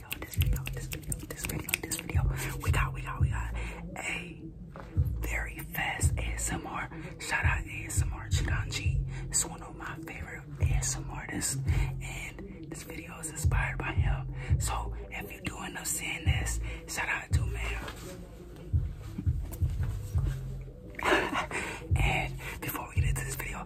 We got, we got, we got a very fast ASMR. Shout out ASMR Chiganji. It's one of my favorite ASMR artists. And this video is inspired by him. So if you are doing up seeing this, shout out to man. and before we get into this video,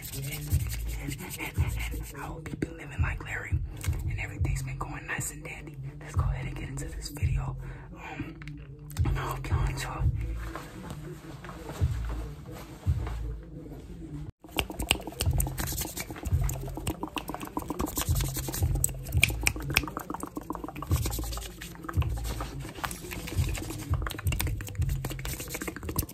and I have been living like Larry and everything's been going nice and dandy. Let's go ahead and get into this video. Um, I hope you enjoy.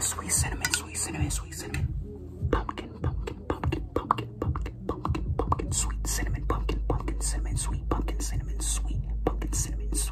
Sweet cinnamon, sweet cinnamon, sweet cinnamon. Pumpkin, pumpkin, pumpkin, pumpkin, pumpkin, pumpkin, pumpkin, sweet cinnamon, pumpkin, pumpkin, cinnamon, sweet pumpkin, cinnamon, sweet pumpkin, cinnamon, sweet.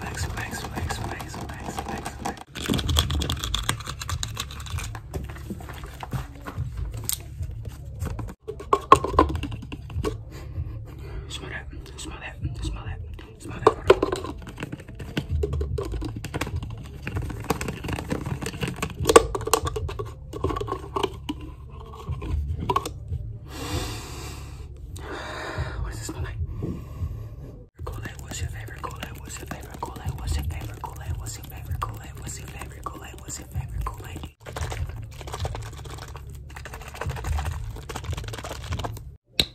Max, max, max, max, max, max, max. Smell that, smell that, smell that. Smell that What does it smell what's your favorite What's your favorite What's your favorite What's your favorite What's your favorite What's your favorite Got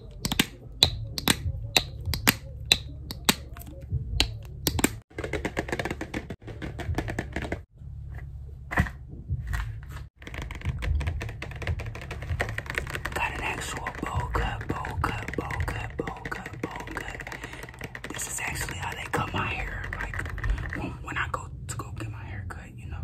an actual bowl cut, bowl cut, bowl cut, bowl cut, bowl cut. This is actually how they cut my hair. Like when I go to go get my hair cut, you know,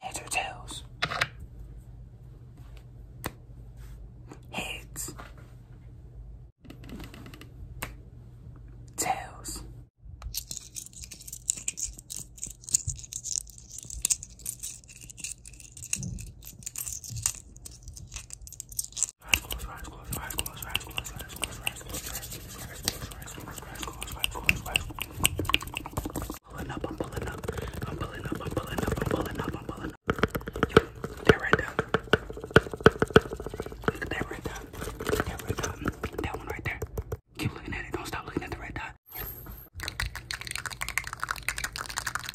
Heads or tails? Heads. Tails. Pulling up, I'm pulling up, I'm pulling up, I'm pulling up, I'm pulling up, I'm That right there. Look at that red dot. That one right there. Keep looking at it. Don't stop looking at the red dot.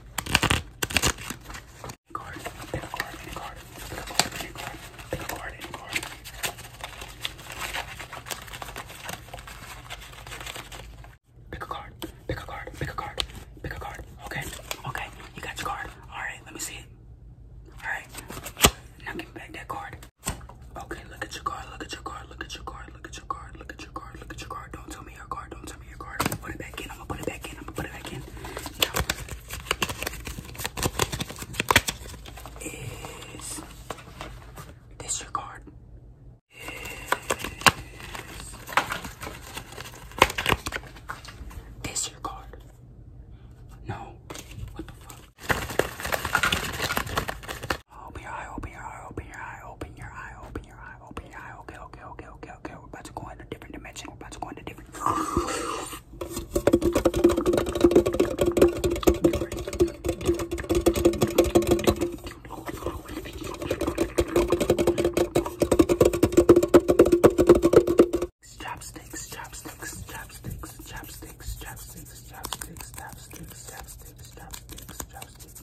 pick a card, pick a card, pick a card, pick a card, pick a card, pick a card. Pick a card, pick a card, pick a card, pick a card. Okay, okay, you got your card. Alright, let me see it. Alright, now give me back that card. Okay, look at your card, look at your card, look at your card, Look at your card. Look at your card. Look at your card. Don't tell me your card. Don't tell me your card. I'm gonna put it back in. I'm gonna put it back in. I'm gonna put it back in. is this your card? Is this your card? No. What the fuck? Open your eye, open your eye, open your eye, open your eye, open your eye, open your eye. Okay, okay, okay, okay, okay. We're about to go into a different dimension. We're about to go into different. Chopsticks, chopsticks, chopsticks, chopsticks, chopsticks, chopsticks, chopsticks, chopsticks, chopsticks, chopsticks, chopsticks.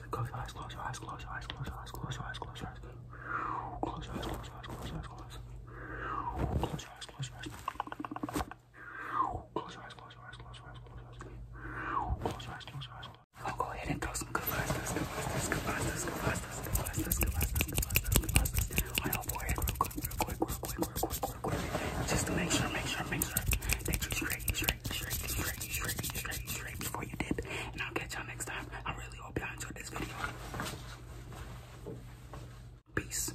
eyes, close your eyes, close your eyes, close your eyes, close your eyes, close your eyes, close your eyes, close your eyes, close your eyes, close your eyes, close your eyes, close your eyes, close your eyes, close your eyes, close your eyes, close your eyes, close your eyes. I'll go ahead and throw some good blasters, good blasters, good blasters, good blasters, good blasters, good blasters, good blasters, good blasters. I hope we're real quick, real quick, real quick, real quick quick, quick. Just to make sure, make sure, make sure that you straight, straight, straight, straight, straight, straight, straight before you dip. And I'll catch y'all next time. I really hope y'all enjoyed this video. Peace.